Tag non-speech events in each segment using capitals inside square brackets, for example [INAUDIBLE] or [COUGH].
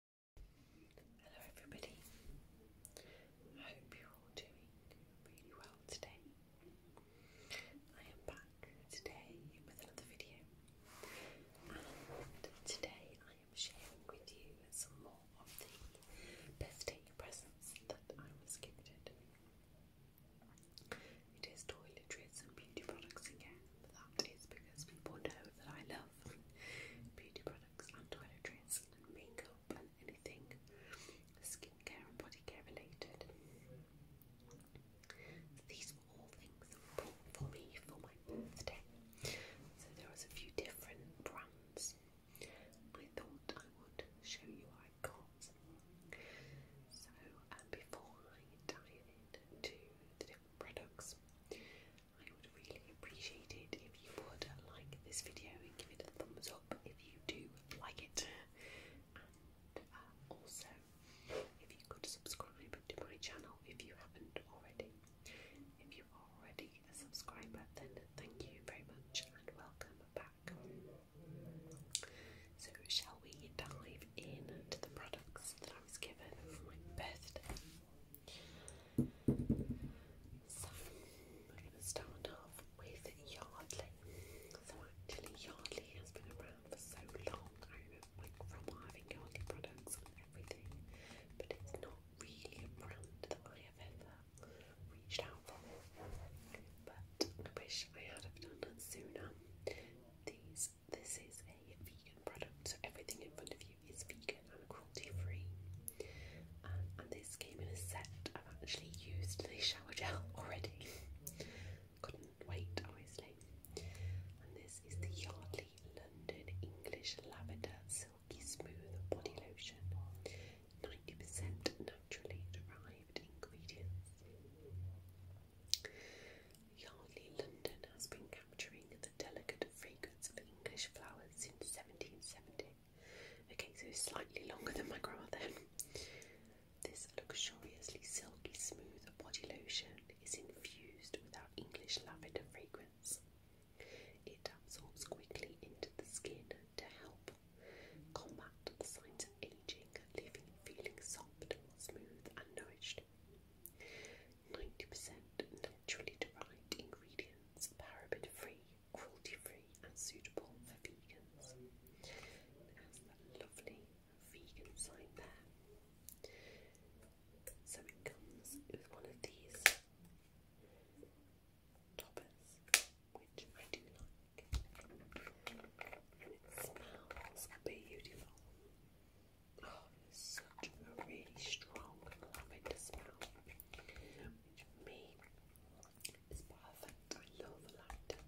Hello everybody, I hope you're all doing really well today. I am back today with another video and today I am sharing with you some more of the birthday presents that I was gifted. It is toiletries and beauty products again that is because people know that I love beauty products and toiletries and makeup and anything skincare and body care related. these were all things that for me for my birthday. So there was a few different brands. I thought I would show you what I got. So before I dive into the different products, I would really appreciate it if you would like this video and give it a thumbs up if you do like it. And uh, also, if you could subscribe to my channel if you haven't already. If you are already a subscriber, then thank you very much and welcome back. So, shall we dive into the products that I was given for my birthday? So we're going to start off with Yardley. So actually Yardley has been around for so long, I remember like from having Yardley products and everything, but it's not really a brand that I have ever reached out for. But I wish I had have done it sooner. These this is a vegan product, so everything in front of you is vegan and cruelty free. Um, and this came in a set. I've actually used the shower gel [LAUGHS] already. Couldn't wait, obviously. And this is the Yardley London English Lavender Silky Smooth Body Lotion. 90% naturally derived ingredients. Yardley London has been capturing the delicate fragrance of English flowers since 1770. Okay, so it's slightly longer than my grandmother. [LAUGHS] This luxuriously silky smooth body lotion is infused with our English lavender fragrance. It absorbs quickly into the skin to help combat the signs of aging, leaving you feeling soft, smooth, and nourished. 90% naturally derived ingredients, paraben-free, cruelty-free and suitable for vegans. It has that lovely vegan sign there. So it comes with one of these toppers, which I do like. And it smells beautiful. Oh, such a really strong lavender smell, me is perfect. I love lavender.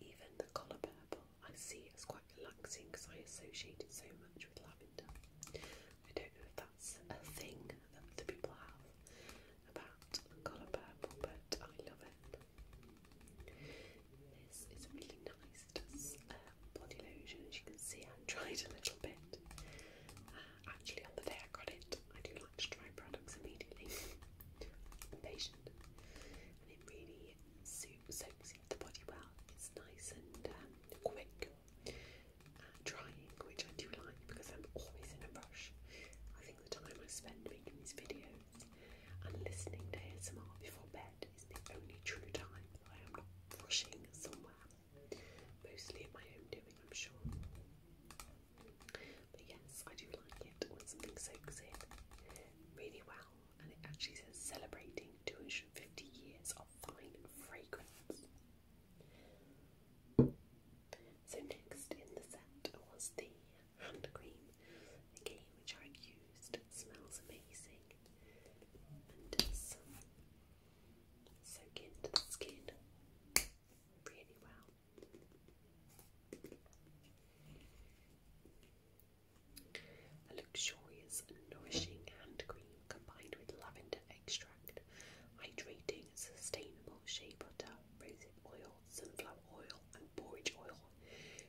Even the colour purple I see as quite relaxing because I associate it so much with lavender. I don't know if that's a thing that the people have about colour purple, but I love it. This is really nice. Um, body lotion, as you can see. I tried a little bit. Uh, actually, on the day I got it, I do like to try products immediately. I'm patient, and it really soaks into the body well. It's nice and um, quick uh, drying, which I do like because I'm always in a rush. I think the time I spend making these videos and listening to ASMR before bed is the only true time I am not rushing somewhere. Mostly at my own doing, I'm sure. But yes, I do like it when something soaks in really well, and it actually says celebrating 250 years of fine fragrance. So next in the set was the hand cream. Again, which I used. smells amazing. And some soak into the skin really well. A luxurious and nourishing hand cream combined with lavender extract, hydrating, sustainable shea butter, rose oil, sunflower oil, and borage oil,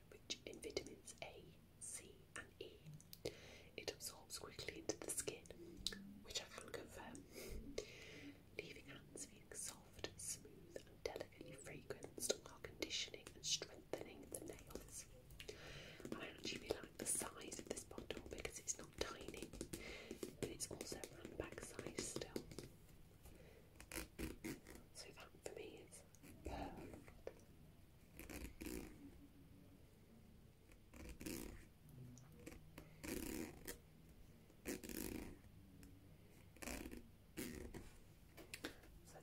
rich in vitamins A, C, and E. It absorbs quickly into the skin, which I can confirm, leaving hands feeling soft, smooth, and delicately fragranced while conditioning and strengthening the nails. I actually like the size of this bottle because it's not tiny, but it's also round size still. So that for me is perfect. So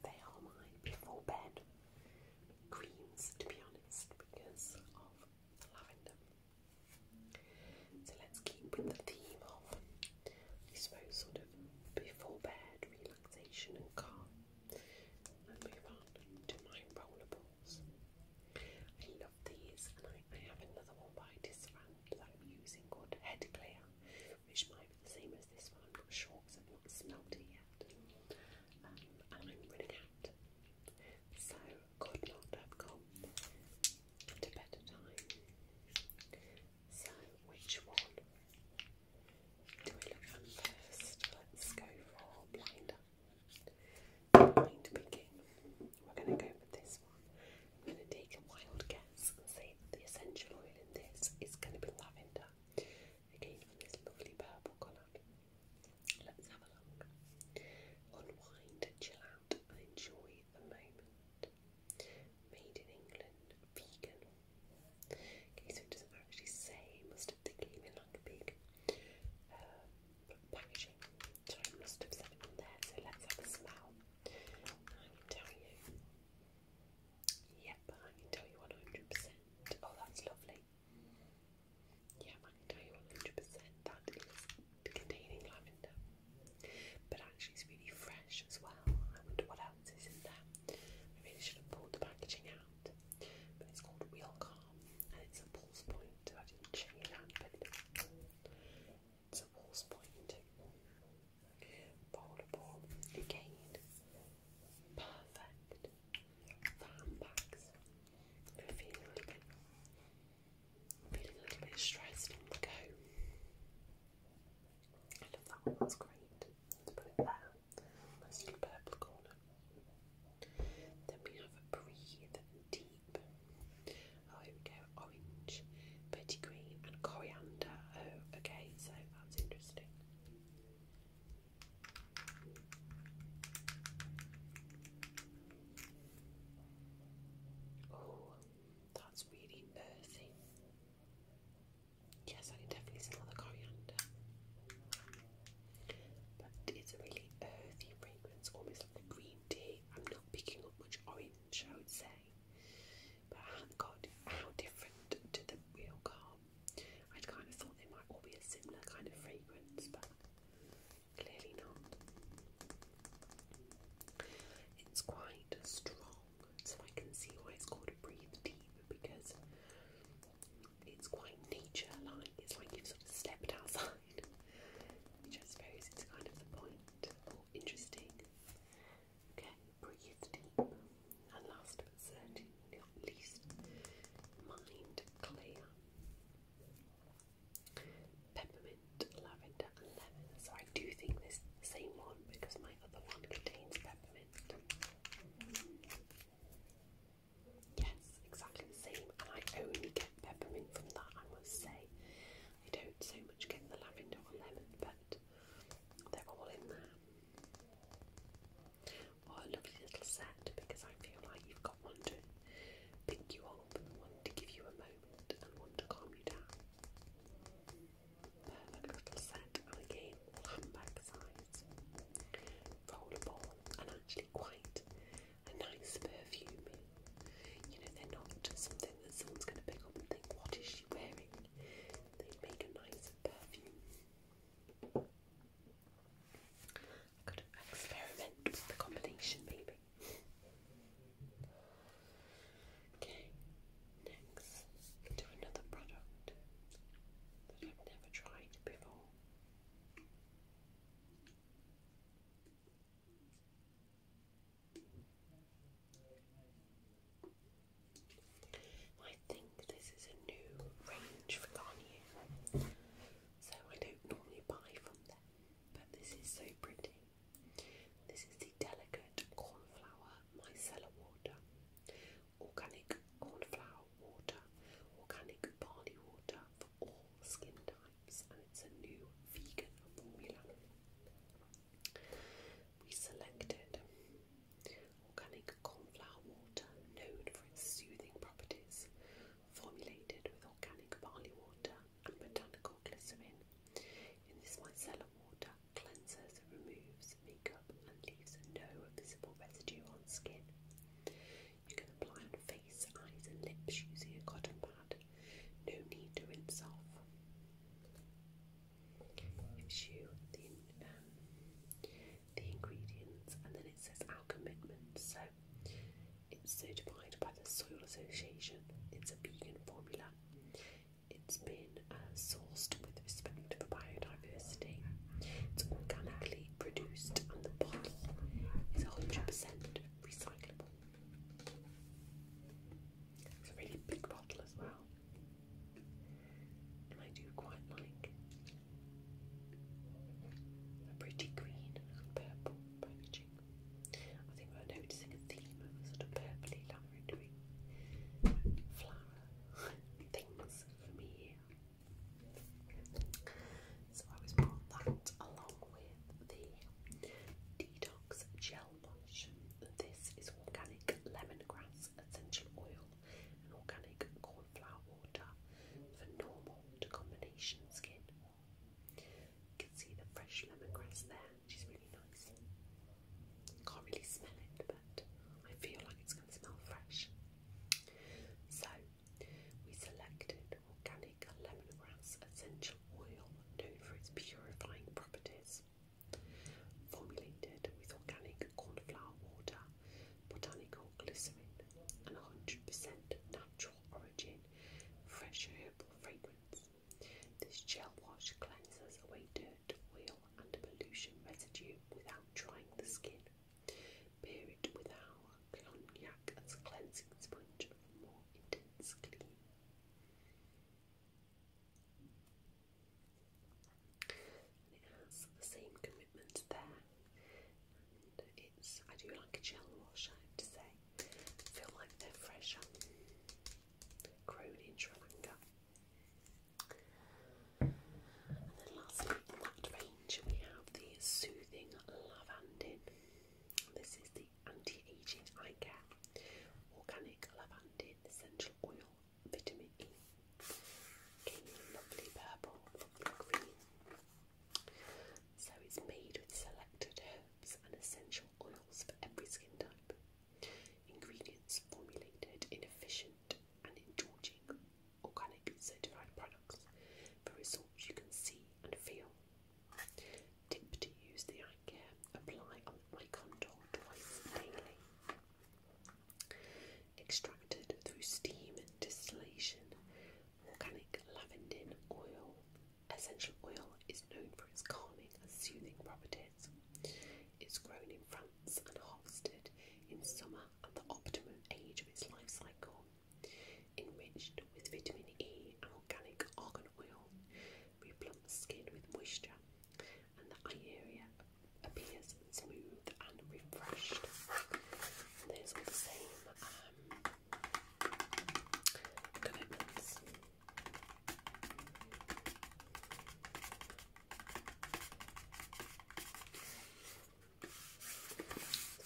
they are my before bed creams to be honest because of lavender. So let's keep with the theme of I suppose sort of before bed relaxation and calm and move on to my roller I love these, and I, have another one by Disrand that I'm using called Head Clear, which might be the same as this one. I'm not sure because I've not smelled it yet, um, and I'm running out, so could not have come at a better time. So, which one do we look first? Let's go for blinder. Blind picking. We're going to go with this one. I'm going to take a wild guess and say that the essential oil in this is going to be lavender. Again, from this lovely purple colour. Let's have a look. Unwind, chill out, enjoy the moment. Made in England, vegan, Okay, so it doesn't actually say must have the game like a big um, packaging. So I must have something in there. So let's have a smell. I can tell you. Yep, I can tell you 100%. Oh, that's lovely. Yeah, I can tell you 100% that is containing lavender. But actually, it's really fresh as well. I wonder what ounces in there. I really should have pulled the packaging out. But it's called Real Calm and it's a pulse point. I didn't check that, but it's a pulse point. Foldable again. Perfect handbags. feeling a little bit I'm feeling go. I love that one, that's great. Let's put it there. Nice little purple corner. Then we have breathe deep. Oh, Orange, pretty green, and coriander. Oh, okay. So that's interesting. Oh, that's really earthy. Yes, I can definitely smell the coriander. But it's a really earthy fragrance, almost like a green tea. I'm not picking up much orange, I would say. But God, how different to the real car. I kind of thought they might all be a similar kind of fragrance, but clearly not. It's quite strong so I can see why it's called Breathe Deep because it's quite nature-like. It's like you've sort of stepped outside, which I suppose is kind of the point. Or oh, interesting. Okay, breathe deep, and last but certainly not least, mind clear. Peppermint, lavender, and lemon. So I do think this same one because my other one contains peppermint. Yes, exactly the same. And I only get peppermint from that, I must say. I don't so much get the lavender or lemon, but they're all in there. What a lovely little set because I feel like you've got one to pick you up, one to give you a moment, and one to calm you down a little set again all size, rollable and actually quite a nice perfume. You know, they're not just something that someone's going to pick up and think, what is she wearing? They make a nice perfume. could experiment with the combination maybe. Okay, next to another product that I've never tried before. I think this is a new range for Garnier, so I don't normally buy from them, but this is so pretty. This is delicate cornflower micellar water, organic cornflower water, organic barley water for all skin types, and it's a new vegan formula. We selected organic cornflower water, known for its soothing properties, formulated with organic barley water and botanical glycerin. In this micellar water, cleanser that removes makeup and leaves no visible residue on skin. You can apply on face, eyes and lips using a cotton pad. No need to rinse off. Gives you the um, ingredients and then it says our commitment. So it's certified by the Soil Association. It's a vegan formula. It's been uh, sourced with respect to biodiversity. It's organically produced and the bottle is 100% recyclable. It's a really big bottle as well. I do quite like a pretty green and purple packaging. I think we're noticing a theme of sort of purpley things for me. So I was brought that along with the detox gel lotion. This is organic lemongrass essential oil and organic cornflower water for normal to combination skin. You can see the fresh lemongrass there which really nice. Can't really smell it, but I feel like it's going to smell fresh. So, we selected organic lemon grass essential oil, known for its purifying properties. Formulated with organic cornflower water, botanical glycerin, and 100% natural origin, fresh herbal fragrance. This gel wash cleanses away dirt, oil, and pollution residue without drying the skin. Pair it with our cognac as a cleansing sponge for more intense clean. it has the same commitment there. And it's, I do like a gel wash, I have to say. feel like they're fresher. Grown in Sri Lanka. And then lastly in that range we have the Soothing Lavandin. This is the anti-aging eye care, organic lavender essential oil, vitamin E. lovely purple, lovely green. So it's made with selected herbs and essential oils for every skin type. Ingredients formulated in efficient and indulging organic certified products for results you can see and feel. Tip to use the eye care, apply on my contour twice daily. Extracted through steam distillation, organic lavender oil. Essential oil is known for its calming and soothing properties. It's grown in France and harvested in summer at the optimum age of its life cycle. Enriched with vitamin E and organic argan oil, replumps skin with moisture, and the eye area appears smooth and refreshed. And the same um,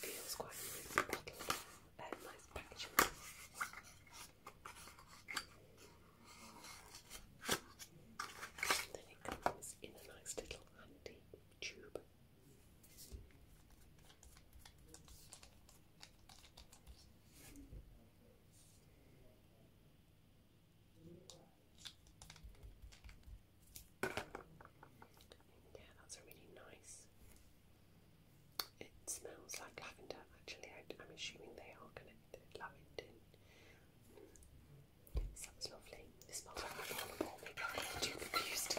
Feels quite nice bottle, uh, nice packaging. Then it comes in a nice little handy tube. Yeah, that's really nice. It smells like lavender actually. I, am assuming they are connected. Lavender. Mm. Sounds lovely. It smells like alcohol. too confused.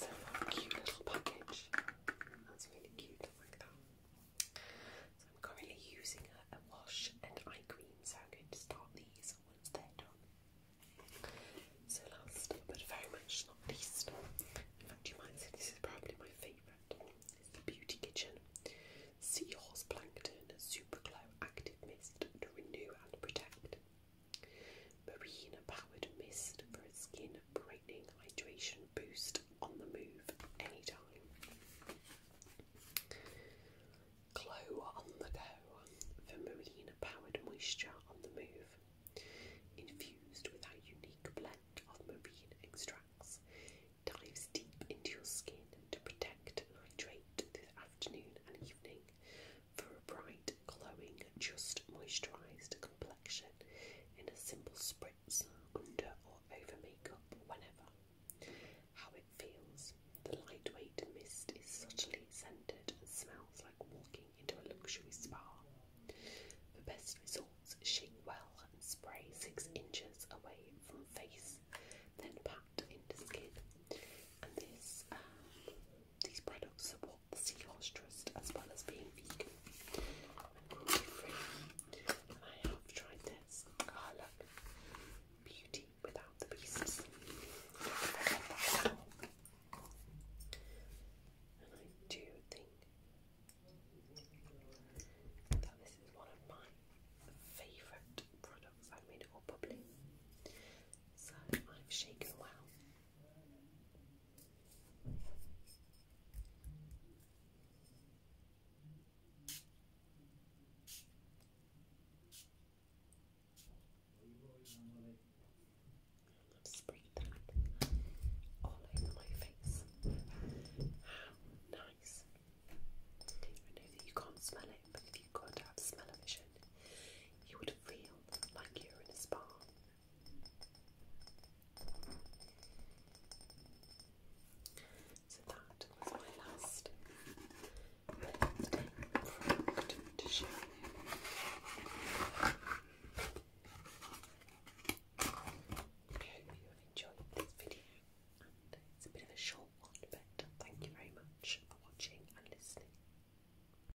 So, cute little package. That's really cute, I like that. So I'm currently using a, wash and eye cream, so I'm going to start these once they're done. So last, but very much not least, in fact you might say this is probably my favourite, the Beauty Kitchen Seahorse Plankton Super Glow Active Mist to Renew and Protect. Marina powered mist for a skin brightening hydration boost on the move anytime. Glow on the go for Marina powered moisture on the move. Infused with our unique blend of marine extracts, dives deep into your skin to protect hydrate this afternoon and evening for a bright, glowing, just moisturised complexion in a simple spritz, under or over makeup, whenever. How it feels. The lightweight mist is subtly scented and smells like walking into a luxury spa. The best results, shake well and spray six inches away from face, then pat into skin. And this, um, these products support health, seahorse trust, as well as being vegan. And gluten-free. I have tried this. Ah, look. Beauty without the beasts. And I do think that this is one of my favourite products. I've made it all bubbly. So I've shaken well. Let's spray that all over my face. How nice! I know that you can't smell it, but if you could have smell vision, you would feel like you're in a spa. So that was my last birthday product to show you. I hope you enjoyed this video and it's a bit of a short one but thank you very much for watching and listening.